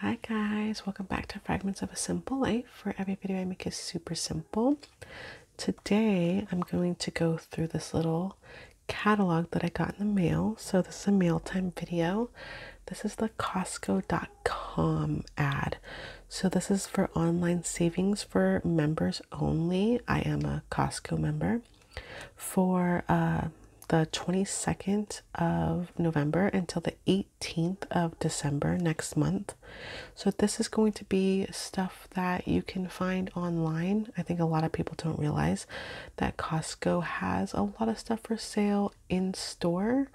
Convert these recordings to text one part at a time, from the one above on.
Hi guys, welcome back to Fragments of a Simple Life, For every video I make is super simple. Today I'm going to go through this little catalog that I got in the mail. So this is a mealtime video. This is the Costco.com ad. So this is for online savings for members only. I am a Costco member for uh, the 22nd of November until the 18th of December next month. So, this is going to be stuff that you can find online. I think a lot of people don't realize that Costco has a lot of stuff for sale in store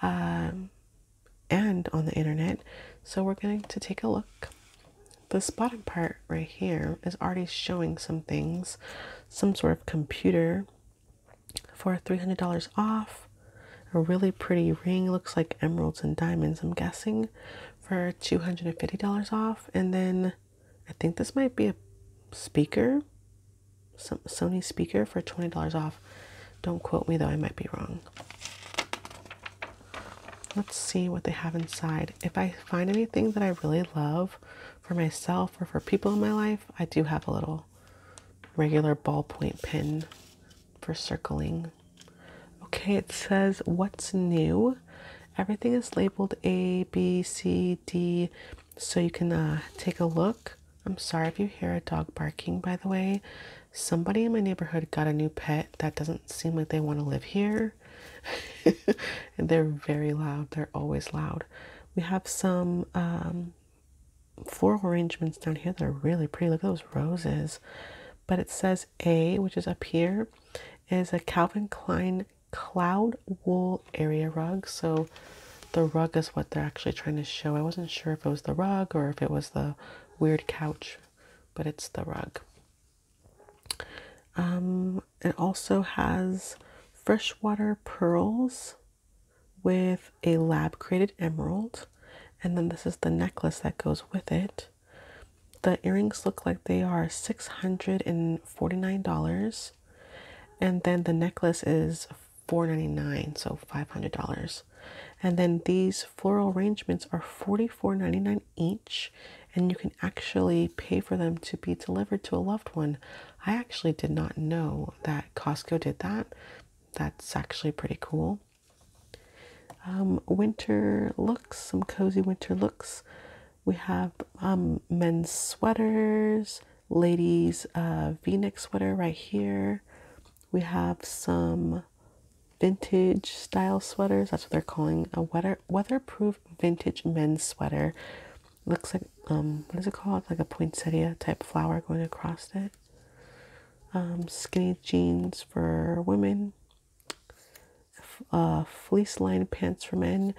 um, and on the internet. So, we're going to take a look this bottom part right here is already showing some things, some sort of computer for $300 off, a really pretty ring, looks like emeralds and diamonds, I'm guessing, for $250 off, and then I think this might be a speaker, some Sony speaker for $20 off. Don't quote me though, I might be wrong. Let's see what they have inside. If I find anything that I really love for myself or for people in my life, I do have a little regular ballpoint pen for circling. Okay, it says what's new. Everything is labeled A, B, C, D, so you can uh, take a look. I'm sorry if you hear a dog barking, by the way. Somebody in my neighborhood got a new pet that doesn't seem like they want to live here and they're very loud, they're always loud. We have some um, floral arrangements down here that are really pretty. Look at those roses. But it says A, which is up here, is a Calvin Klein cloud wool area rug. So the rug is what they're actually trying to show. I wasn't sure if it was the rug or if it was the weird couch, but it's the rug. Um, it also has freshwater pearls with a lab created emerald, and then this is the necklace that goes with it. The earrings look like they are $649, and then the necklace is $499, so $500. And then these floral arrangements are $44.99 each and you can actually pay for them to be delivered to a loved one. I actually did not know that Costco did that. That's actually pretty cool. Um, winter looks, some cozy winter looks. We have um, men's sweaters, ladies' uh, v neck sweater right here. We have some vintage style sweaters. That's what they're calling a weather weatherproof vintage men's sweater. Looks like um what is it called? Like a poinsettia type flower going across it. Um, skinny jeans for women. Uh, fleece lined pants for men,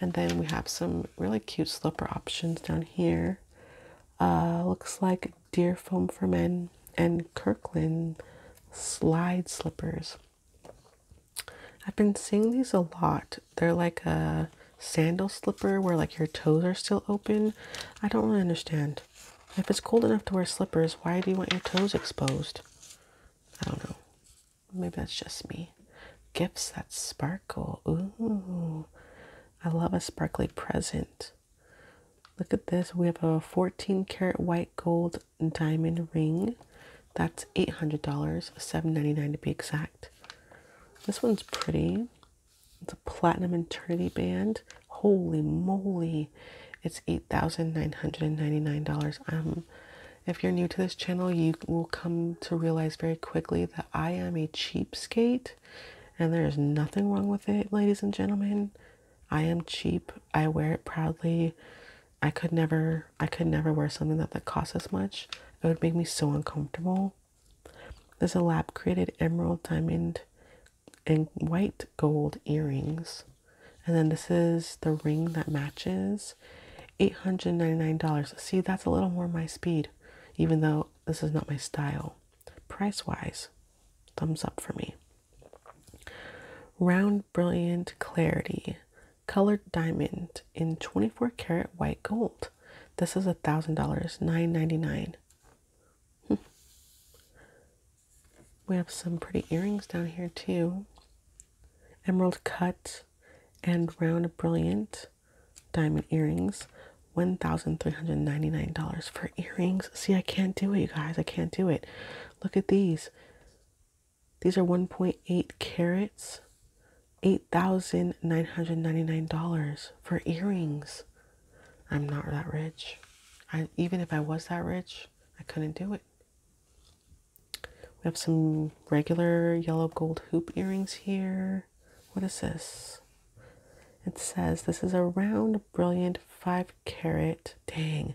and then we have some really cute slipper options down here. Uh, looks like deer foam for men and Kirkland slide slippers. I've been seeing these a lot. They're like a sandal slipper where like your toes are still open. I don't really understand. If it's cold enough to wear slippers, why do you want your toes exposed? I don't know. Maybe that's just me. Gifts that sparkle. Ooh. I love a sparkly present. Look at this. We have a 14 karat white gold diamond ring. That's $800, dollars seven ninety nine to be exact. This one's pretty. It's a platinum eternity band. Holy moly. It's $8,999. Um, if you're new to this channel, you will come to realize very quickly that I am a cheapskate and there is nothing wrong with it, ladies and gentlemen. I am cheap. I wear it proudly. I could never I could never wear something that that costs as much. It would make me so uncomfortable. There's a lab created emerald diamond and white gold earrings. And then this is the ring that matches. $899. See, that's a little more my speed, even though this is not my style. Price wise, thumbs up for me. Round Brilliant Clarity Colored Diamond in 24 karat white gold. This is a thousand dollars, nine ninety nine. Hmm. We have some pretty earrings down here too. Emerald cut and round brilliant diamond earrings. $1,399 for earrings. See, I can't do it, you guys. I can't do it. Look at these. These are 1.8 carats, $8,999 for earrings. I'm not that rich. I, even if I was that rich, I couldn't do it. We have some regular yellow gold hoop earrings here. What is this? It says this is a round, brilliant 5 carat. Dang,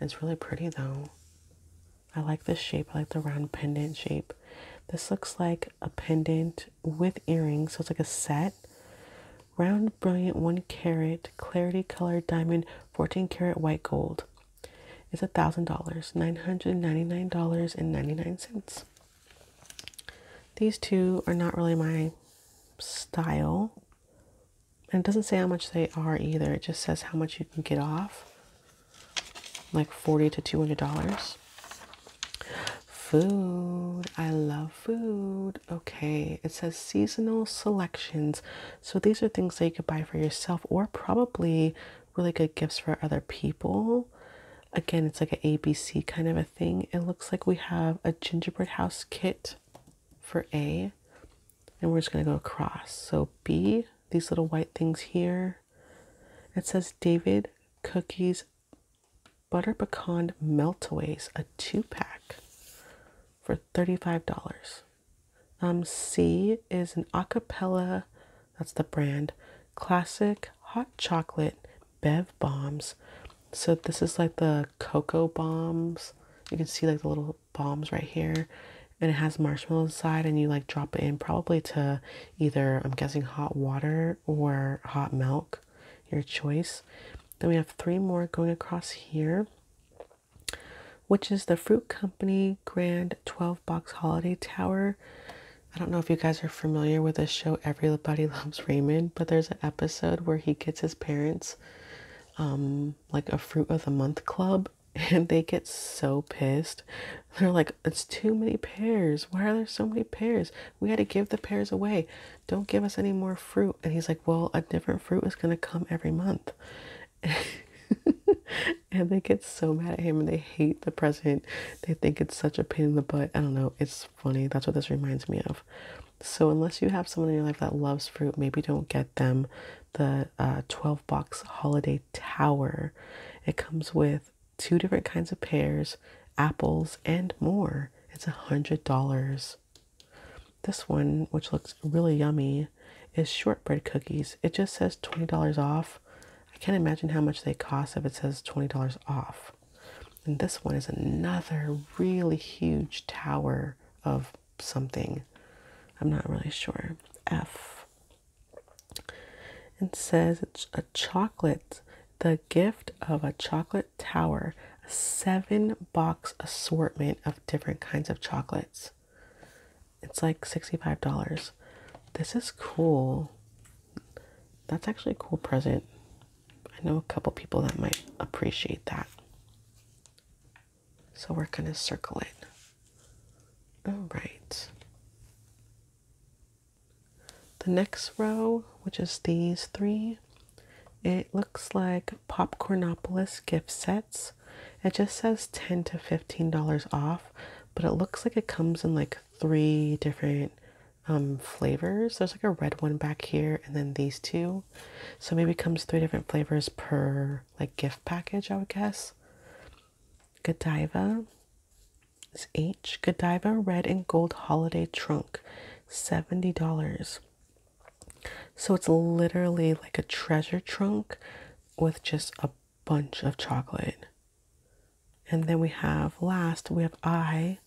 It's really pretty though. I like the shape. I like the round pendant shape. This looks like a pendant with earrings. So it's like a set. Round, brilliant, 1 carat, clarity colored diamond, 14 karat white gold. It's $1,000, $999.99. These two are not really my style. And it doesn't say how much they are either. It just says how much you can get off. Like 40 to $200. Food. I love food. Okay. It says seasonal selections. So these are things that you could buy for yourself or probably really good gifts for other people. Again, it's like an ABC kind of a thing. It looks like we have a gingerbread house kit for A and we're just going to go across. So B, these little white things here, it says David Cookies Butter Pecan Meltaways, a two pack for $35. Um, C is an acapella, that's the brand, classic hot chocolate Bev Bombs. So this is like the cocoa bombs. You can see like the little bombs right here and it has marshmallow inside and you like drop it in probably to either i'm guessing hot water or hot milk your choice then we have three more going across here which is the fruit company grand 12 box holiday tower i don't know if you guys are familiar with this show everybody loves raymond but there's an episode where he gets his parents um, like a fruit of the month club and they get so pissed. They're like, it's too many pears. Why are there so many pears? We had to give the pears away. Don't give us any more fruit. And he's like, well, a different fruit is going to come every month. and they get so mad at him and they hate the president. They think it's such a pain in the butt. I don't know. It's funny. That's what this reminds me of. So unless you have someone in your life that loves fruit, maybe don't get them the uh, 12 box holiday tower. It comes with two different kinds of pears, apples, and more. It's a hundred dollars. This one, which looks really yummy, is shortbread cookies. It just says $20 off. I can't imagine how much they cost if it says $20 off. And this one is another really huge tower of something. I'm not really sure. F. It says it's a chocolate, the gift of a chocolate tower, a seven box assortment of different kinds of chocolates. It's like $65. This is cool. That's actually a cool present. I know a couple people that might appreciate that. So we're going to circle it. All right. The next row, which is these three, it looks like Popcornopolis gift sets. It just says 10 to $15 off, but it looks like it comes in like three different um, flavors. There's like a red one back here and then these two. So maybe comes three different flavors per like gift package, I would guess. Godiva is H. Godiva Red and Gold Holiday Trunk, $70. So it's literally like a treasure trunk with just a bunch of chocolate. And then we have last, we have I.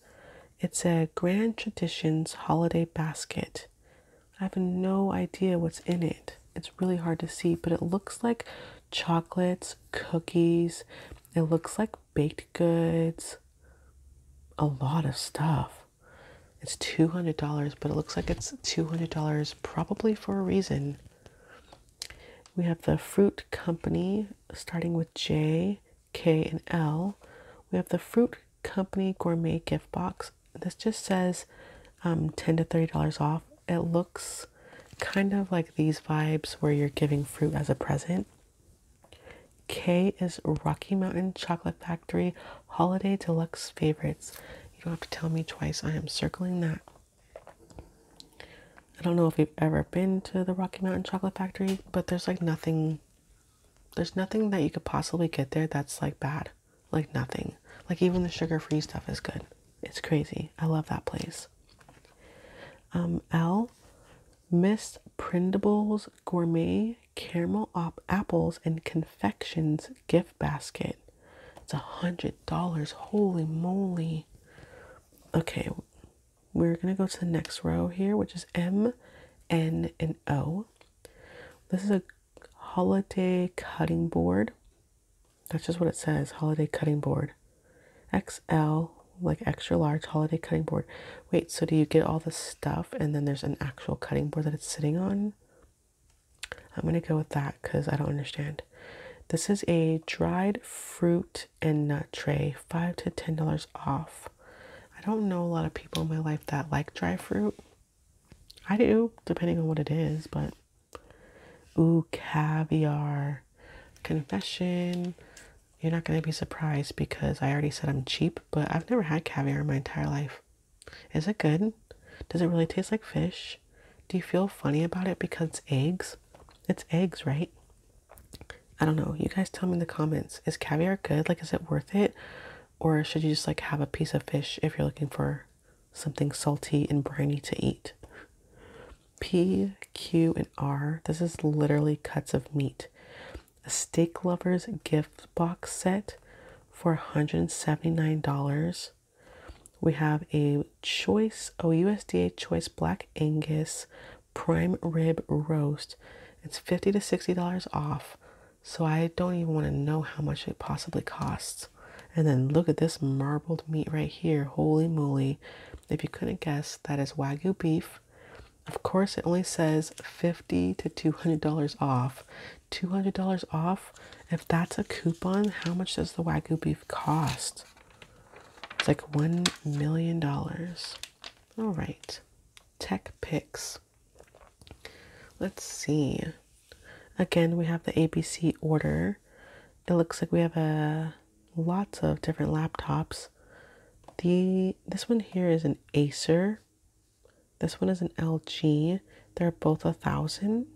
It's a Grand Traditions Holiday Basket. I have no idea what's in it. It's really hard to see, but it looks like chocolates, cookies, it looks like baked goods, a lot of stuff. It's $200, but it looks like it's $200 probably for a reason. We have the fruit company starting with J, K, and L. We have the fruit company gourmet gift box. This just says um, 10 to $30 off. It looks kind of like these vibes where you're giving fruit as a present. K is Rocky Mountain Chocolate Factory Holiday Deluxe Favorites. You don't have to tell me twice. I am circling that. I don't know if you've ever been to the Rocky Mountain Chocolate Factory, but there's like nothing there's nothing that you could possibly get there that's like bad like nothing. Like even the sugar-free stuff is good. It's crazy. I love that place. Um, L, Miss Prindables Gourmet Caramel op Apples and Confections Gift Basket. It's a hundred dollars. Holy moly. Okay, we're gonna go to the next row here, which is M, N, and O. This is a holiday cutting board. That's just what it says holiday cutting board. XL, like extra large holiday cutting board. Wait, so do you get all the stuff and then there's an actual cutting board that it's sitting on? I'm going to go with that because I don't understand. This is a dried fruit and nut tray, 5 to $10 off. I don't know a lot of people in my life that like dry fruit. I do, depending on what it is, but ooh, caviar. Confession. You're not going to be surprised because I already said I'm cheap, but I've never had caviar in my entire life. Is it good? Does it really taste like fish? Do you feel funny about it because it's eggs? It's eggs, right? I don't know. You guys tell me in the comments. Is caviar good? Like, is it worth it? Or should you just like have a piece of fish if you're looking for something salty and briny to eat. P, Q, and R. This is literally cuts of meat. A steak lover's gift box set for $179. We have a choice, OUSDA choice black Angus prime rib roast. It's 50 to $60 off. So I don't even want to know how much it possibly costs. And then look at this marbled meat right here. Holy moly. If you couldn't guess, that is Wagyu beef. Of course, it only says 50 to $200 off. $200 off? If that's a coupon, how much does the Wagyu beef cost? It's like $1 million. All right. Tech picks. Let's see. Again, we have the ABC order. It looks like we have a uh, lots of different laptops. The this one here is an Acer. This one is an LG. They're both a thousand.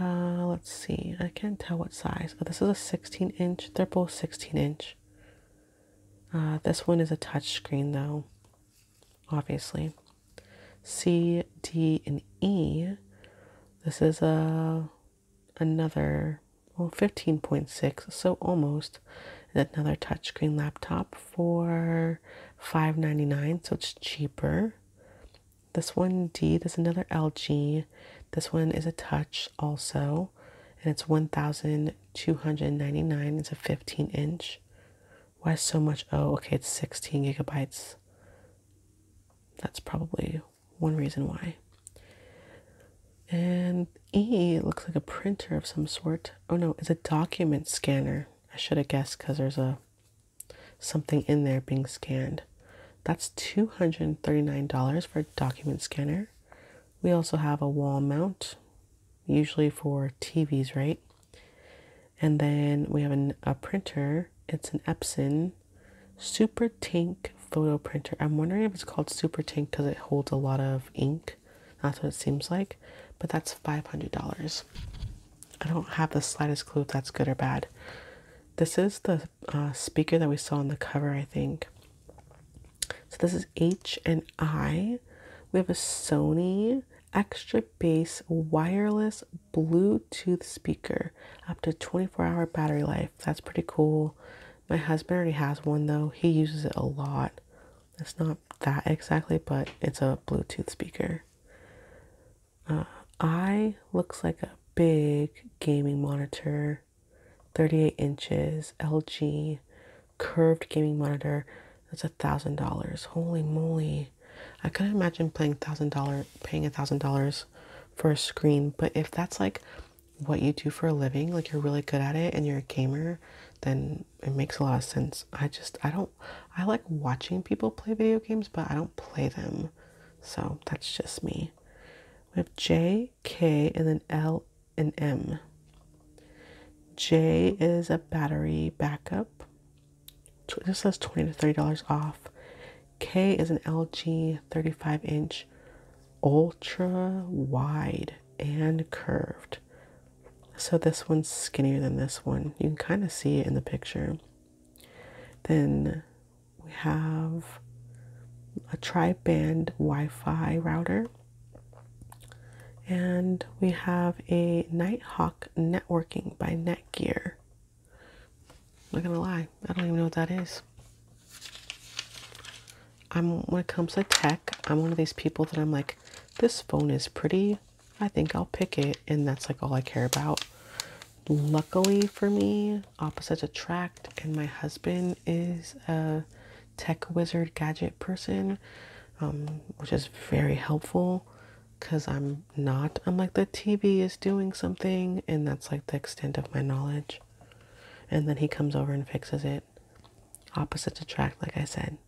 Uh, let's see. I can't tell what size. Oh, this is a 16 inch. They're both 16 inch. Uh, this one is a touch screen though obviously. C, D, and E. This is a uh, another well 15.6, so almost another touchscreen laptop for 5.99, so it's cheaper. This one D, this another LG. This one is a touch also, and it's 1299. It's a 15 inch. Why so much? Oh, okay, it's 16 gigabytes. That's probably one reason why. And E looks like a printer of some sort. Oh no, it's a document scanner. I should have guessed because there's a something in there being scanned. That's $239 for a document scanner. We also have a wall mount, usually for TVs, right? And then we have a printer. It's an Epson Super Tank photo printer. I'm wondering if it's called Super Tank because it holds a lot of ink. That's what it seems like. But that's $500. I don't have the slightest clue if that's good or bad. This is the uh, speaker that we saw on the cover, I think. So this is H and I. We have a Sony extra bass wireless Bluetooth speaker, up to 24 hour battery life. That's pretty cool. My husband already has one though, he uses it a lot. It's not that exactly, but it's a Bluetooth speaker. Uh, I looks like a big gaming monitor, 38 inches, LG, curved gaming monitor. That's a thousand dollars. Holy moly. I couldn't imagine playing thousand dollar paying a thousand dollars for a screen, but if that's like what you do for a living, like you're really good at it and you're a gamer, then it makes a lot of sense. I just I don't I like watching people play video games, but I don't play them. So that's just me. We have J, K, and then L and M. J is a battery backup. This says twenty to thirty dollars off. K is an LG thirty-five inch, ultra wide and curved. So this one's skinnier than this one. You can kind of see it in the picture. Then we have a tri-band Wi-Fi router and we have a Nighthawk Networking by Netgear. I'm not gonna lie, I don't even know what that is. I'm when it comes to tech, I'm one of these people that I'm like, this phone is pretty. I think I'll pick it, and that's like all I care about. Luckily for me, opposites attract, and my husband is a tech wizard gadget person, um, which is very helpful because I'm not. I'm like, the TV is doing something, and that's like the extent of my knowledge. And then he comes over and fixes it. Opposites attract, like I said.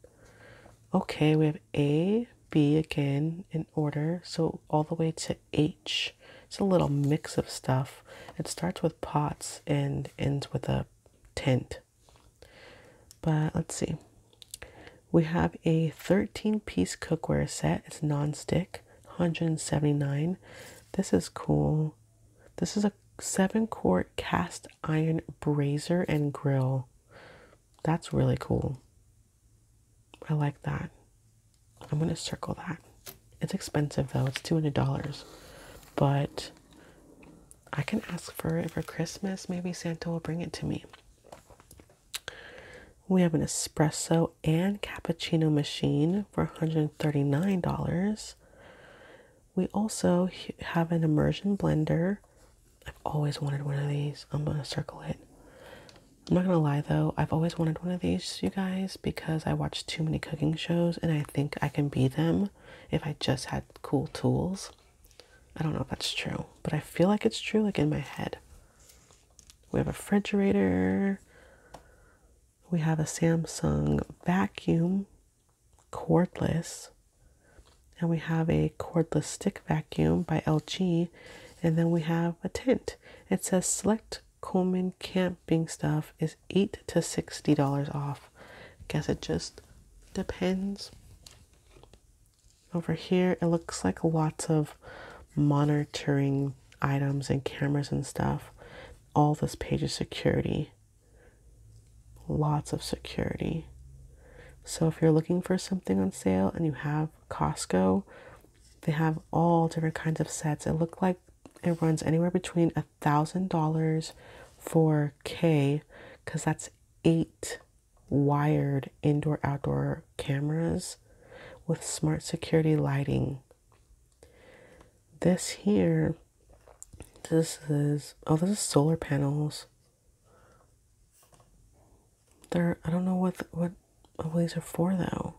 Okay, we have A, B again in order, so all the way to H. It's a little mix of stuff. It starts with pots and ends with a tent. But let's see. We have a 13 piece cookware set. It's non-stick, 179. This is cool. This is a 7 quart cast iron brazier and grill. That's really cool. I like that. I'm going to circle that. It's expensive though. It's $200. But I can ask for it for Christmas. Maybe Santa will bring it to me. We have an espresso and cappuccino machine for $139. We also have an immersion blender. I've always wanted one of these. I'm going to circle it. I'm not going to lie though, I've always wanted one of these, you guys, because I watch too many cooking shows and I think I can be them if I just had cool tools. I don't know if that's true, but I feel like it's true, like in my head. We have a refrigerator. We have a Samsung vacuum, cordless. And we have a cordless stick vacuum by LG. And then we have a tent. It says select Coleman camping stuff is 8 to $60 off. guess it just depends over here, it looks like lots of monitoring items and cameras and stuff. All this page is security. Lots of security. So if you're looking for something on sale and you have Costco, they have all different kinds of sets. It looks like it runs anywhere between a thousand dollars for K, because that's eight wired indoor outdoor cameras with smart security lighting. This here, this is, oh, this is solar panels. They're, I don't know what, what, what these are for though.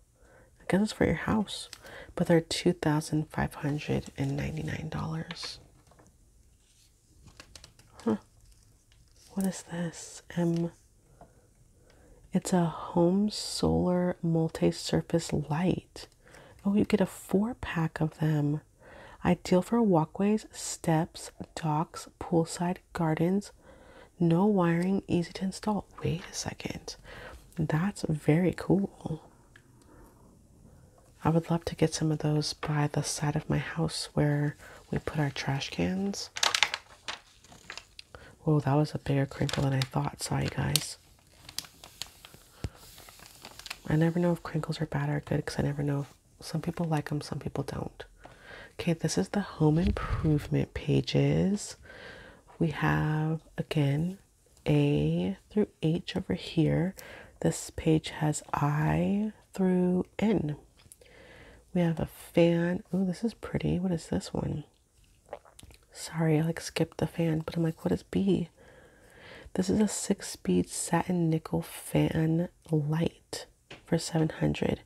I guess it's for your house, but they're $2,599. Huh. What is this? M. It's a home solar multi surface light. Oh, you get a four pack of them. Ideal for walkways, steps, docks, poolside, gardens. No wiring, easy to install. Wait a second. That's very cool. I would love to get some of those by the side of my house where we put our trash cans. Whoa, that was a bigger crinkle than I thought. Sorry, guys. I never know if crinkles are bad or good because I never know if some people like them, some people don't. Okay, this is the home improvement pages. We have again A through H over here. This page has I through N. We have a fan. Oh, this is pretty. What is this one? Sorry, I like skipped the fan, but I'm like, what is B? This is a six speed satin nickel fan light for 700.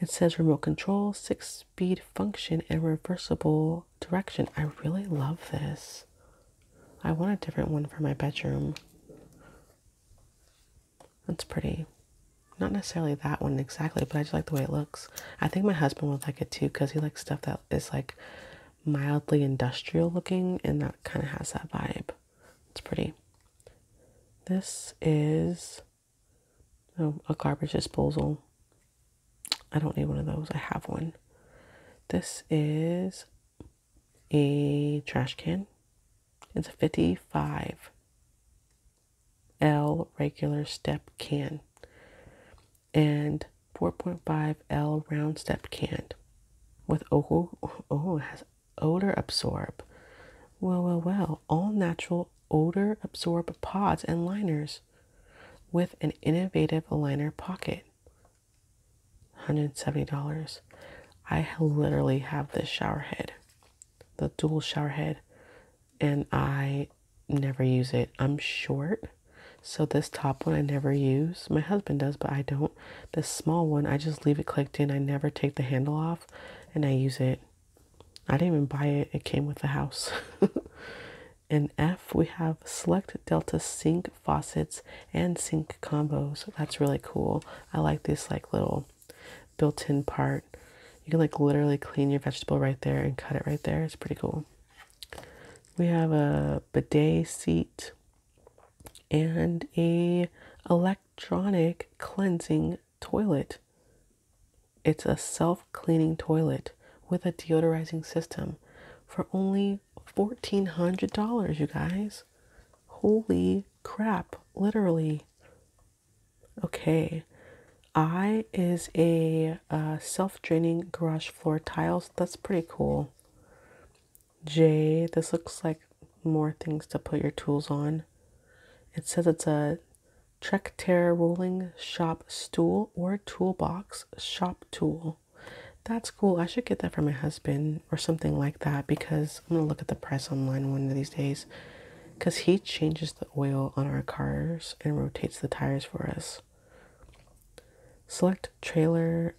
It says remote control, six speed function, and reversible direction. I really love this. I want a different one for my bedroom. That's pretty. Not necessarily that one exactly, but I just like the way it looks. I think my husband would like it too because he likes stuff that is like mildly industrial looking and that kind of has that vibe. It's pretty. This is oh, a garbage disposal. I don't need one of those. I have one. This is a trash can. It's a 55 L regular step can and 4.5 L round step can with oh, oh, oh has odor absorb. Well, well, well, all natural odor absorb pods and liners with an innovative liner pocket. $170. I literally have this shower head the dual shower head and I never use it. I'm short. So this top one I never use. My husband does, but I don't. This small one, I just leave it clicked in. I never take the handle off and I use it. I didn't even buy it. It came with the house. In F, we have select Delta sink faucets and sink combos. That's really cool. I like these like little built-in part. You can like literally clean your vegetable right there and cut it right there. It's pretty cool. We have a bidet seat and a electronic cleansing toilet. It's a self-cleaning toilet with a deodorizing system for only $1400, you guys. Holy crap, literally Okay, I is a uh, self draining garage floor tiles. That's pretty cool. J, this looks like more things to put your tools on. It says it's a Trek Terra rolling shop stool or toolbox shop tool. That's cool. I should get that for my husband or something like that because I'm gonna look at the price online one of these days because he changes the oil on our cars and rotates the tires for us. Select trailer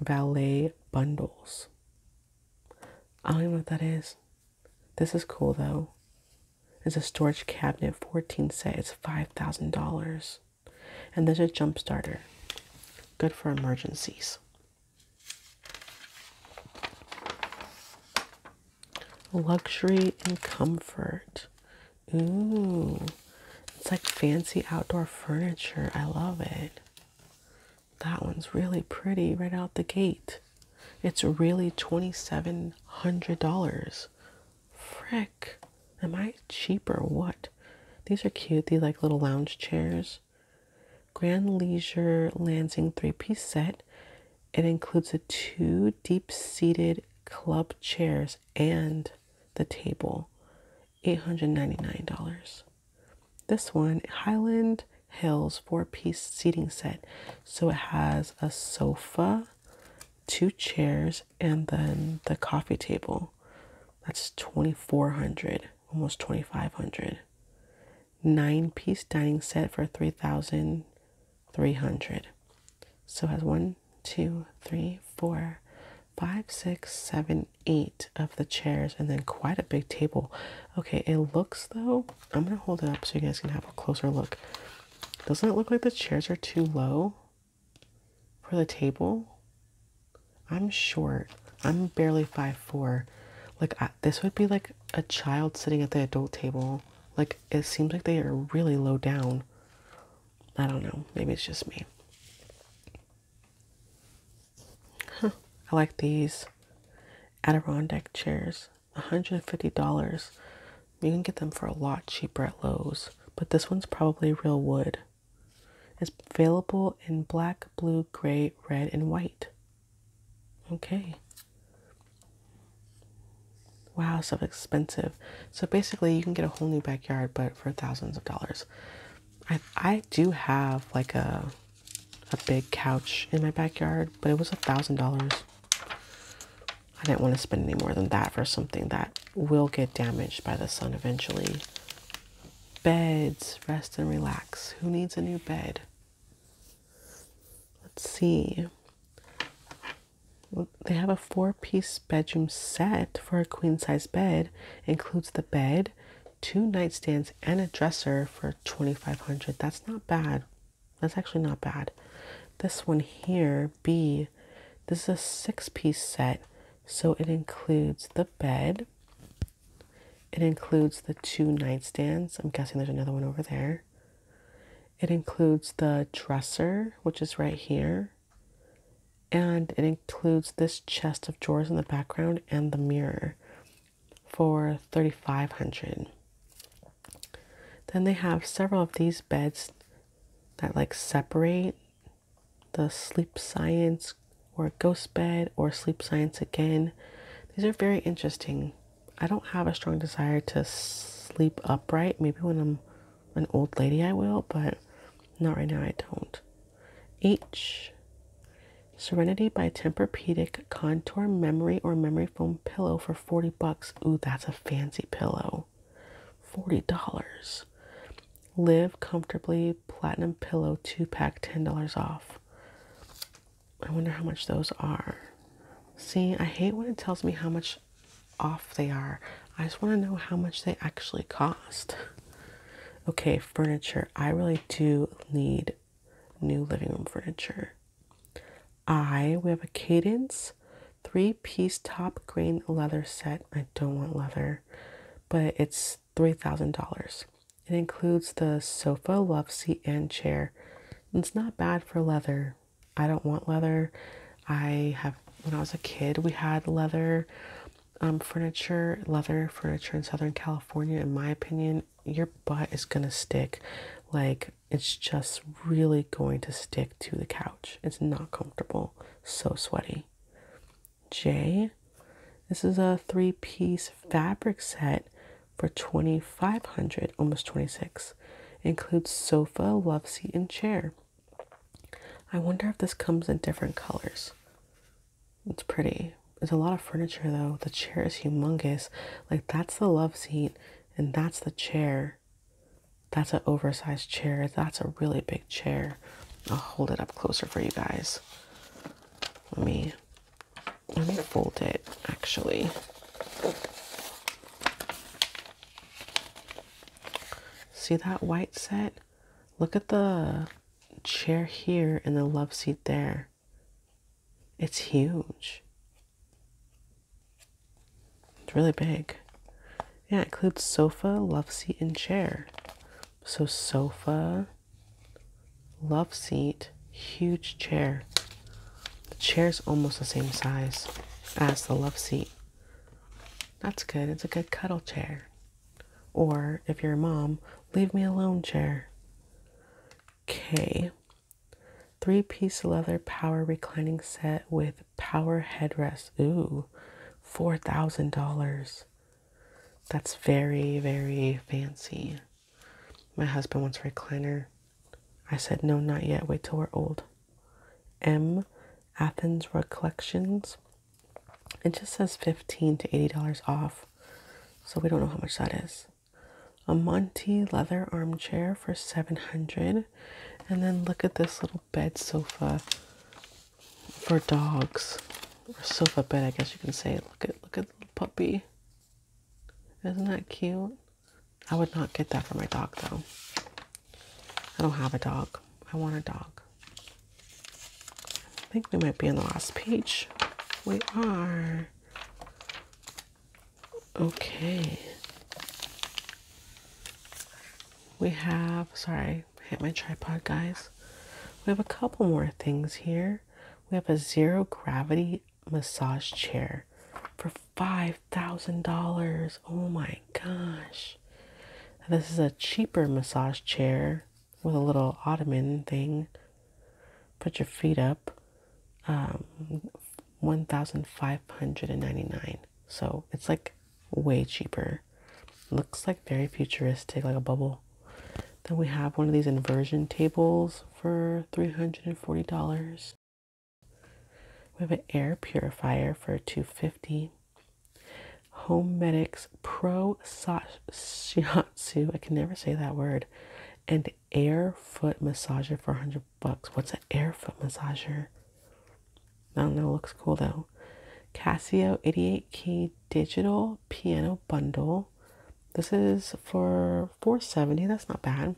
valet bundles. I don't even know what that is. This is cool though. It's a storage cabinet, 14 set, it's $5,000. And there's a jump starter, good for emergencies. Luxury and comfort. Ooh, it's like fancy outdoor furniture. I love it. That one's really pretty right out the gate. It's really $2,700. Frick. Am I cheaper? what? These are cute. These like little lounge chairs. Grand Leisure Lansing three piece set. It includes a two deep seated club chairs and the table. $899. This one, Highland Hills four piece seating set. So it has a sofa, two chairs, and then the coffee table. That's 2400 almost 2500 nine piece dining set for 3300 so it has one two three four five six seven eight of the chairs and then quite a big table okay it looks though i'm gonna hold it up so you guys can have a closer look doesn't it look like the chairs are too low for the table i'm short i'm barely five four like I this would be like a child sitting at the adult table. Like it seems like they are really low down. I don't know. Maybe it's just me. I like these Adirondack chairs. $150. You can get them for a lot cheaper at Lowe's, but this one's probably real wood. It's available in black, blue, gray, red, and white. Okay. Wow, so expensive. So basically, you can get a whole new backyard, but for thousands of dollars. I I do have like a a big couch in my backyard, but it was a thousand dollars. I didn't want to spend any more than that for something that will get damaged by the sun eventually. Beds, rest and relax. Who needs a new bed? Let's see. They have a four piece bedroom set for a queen size bed, includes the bed, two nightstands, and a dresser for 2500 That's not bad. That's actually not bad. This one here, B, this is a six piece set, so it includes the bed, it includes the two nightstands. I'm guessing there's another one over there. It includes the dresser, which is right here. And it includes this chest of drawers in the background and the mirror for 3500 Then they have several of these beds that like separate the sleep science or ghost bed or sleep science again. These are very interesting. I don't have a strong desire to sleep upright. Maybe when I'm an old lady, I will, but not right now, I don't. H. Serenity by Tempur-Pedic Contour Memory or Memory Foam Pillow for 40 bucks. Ooh, that's a fancy pillow. $40. Live Comfortably Platinum Pillow 2-pack, $10 off. I wonder how much those are. See, I hate when it tells me how much off they are. I just want to know how much they actually cost. Okay, furniture. I really do need new living room furniture. I, we have a Cadence three piece top grain leather set. I don't want leather, but it's $3,000. It includes the sofa, love seat, and chair. it's not bad for leather. I don't want leather. I have, when I was a kid, we had leather um, furniture, leather furniture in Southern California. In my opinion, your butt is going to stick. Like, it's just really going to stick to the couch. It's not comfortable. So sweaty. J. This is a three piece fabric set for 2500 almost 26 includes sofa love seat and chair i wonder if this comes in different colors it's pretty there's a lot of furniture though the chair is humongous like that's the love seat and that's the chair that's an oversized chair that's a really big chair i'll hold it up closer for you guys let me I'm going to fold it actually. See that white set? Look at the chair here and the love seat there. It's huge. It's really big. Yeah, it includes sofa, love seat, and chair. So, sofa, love seat, huge chair. The chair's almost the same size as the love seat. That's good. It's a good cuddle chair. Or if you're a mom, leave me alone chair. Okay. Three piece leather power reclining set with power headrest. Ooh, $4,000. That's very, very fancy. My husband wants a recliner. I said, No, not yet. Wait till we're old. M. Athens Rug Collections. It just says 15 to $80 off. So we don't know how much that is. A Monty leather armchair for 700 And then look at this little bed sofa for dogs. Or sofa bed, I guess you can say. Look at look at the little puppy. Isn't that cute? I would not get that for my dog though. I don't have a dog. I want a dog. I think we might be in the last page. We are. Okay. We have, sorry, I hit my tripod, guys. We have a couple more things here. We have a zero gravity massage chair for $5,000. Oh my gosh. this is a cheaper massage chair with a little ottoman thing. Put your feet up. Um, 1599 So it's like way cheaper. Looks like very futuristic, like a bubble. Then we have one of these inversion tables for $340. We have an air purifier for $250. Home Medics Pro Shiatsu, I can never say that word, and air foot massager for 100 bucks. What's an air foot massager? I don't know, looks cool though. Casio 88 key digital piano bundle this is for 470. That's not bad.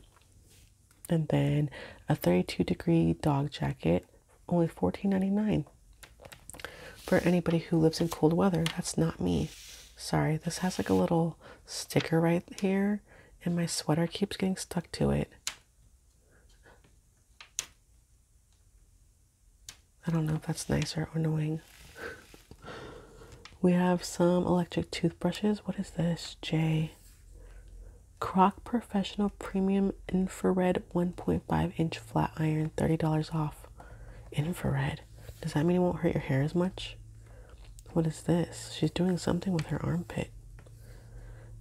And then a 32 degree dog jacket, only 14.99. For anybody who lives in cold weather, that's not me. Sorry, this has like a little sticker right here, and my sweater keeps getting stuck to it. I don't know if that's nice or annoying. We have some electric toothbrushes. What is this? J. Crock Professional Premium Infrared 1.5 inch flat iron, $30 off. Infrared. Does that mean it won't hurt your hair as much? What is this? She's doing something with her armpit.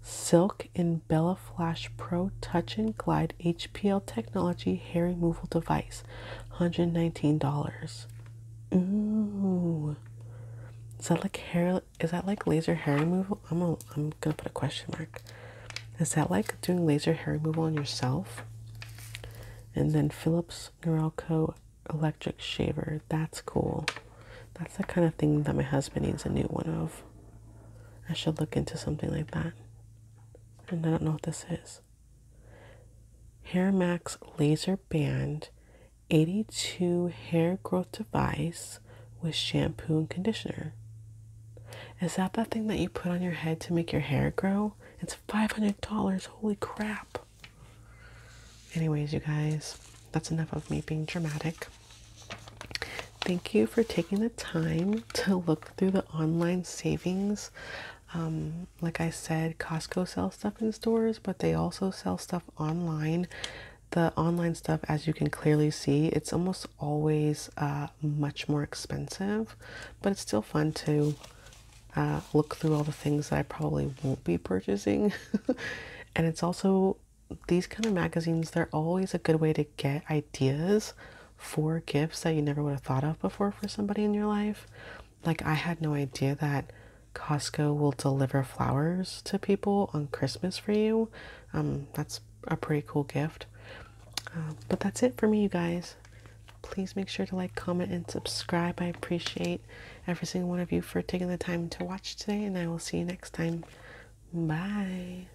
Silk in Bella Flash Pro Touch and Glide HPL Technology Hair Removal Device, $119. Ooh. Is that like hair? Is that like laser hair removal? I'm gonna, I'm gonna put a question mark. Is that like doing laser hair removal on yourself? And then Philips Norelco electric shaver. That's cool. That's the kind of thing that my husband needs a new one of. I should look into something like that. And I don't know what this is. Hair Max Laser Band 82 hair growth device with shampoo and conditioner. Is that that thing that you put on your head to make your hair grow? It's $500. Holy crap. Anyways, you guys, that's enough of me being dramatic. Thank you for taking the time to look through the online savings. Um, like I said, Costco sells stuff in stores, but they also sell stuff online. The online stuff, as you can clearly see, it's almost always uh, much more expensive, but it's still fun to uh, look through all the things that I probably won't be purchasing. and it's also these kind of magazines, they're always a good way to get ideas for gifts that you never would have thought of before for somebody in your life. Like, I had no idea that Costco will deliver flowers to people on Christmas for you. Um, that's a pretty cool gift. Um, but that's it for me, you guys. Please make sure to like, comment, and subscribe. I appreciate every single one of you for taking the time to watch today, and I will see you next time. Bye.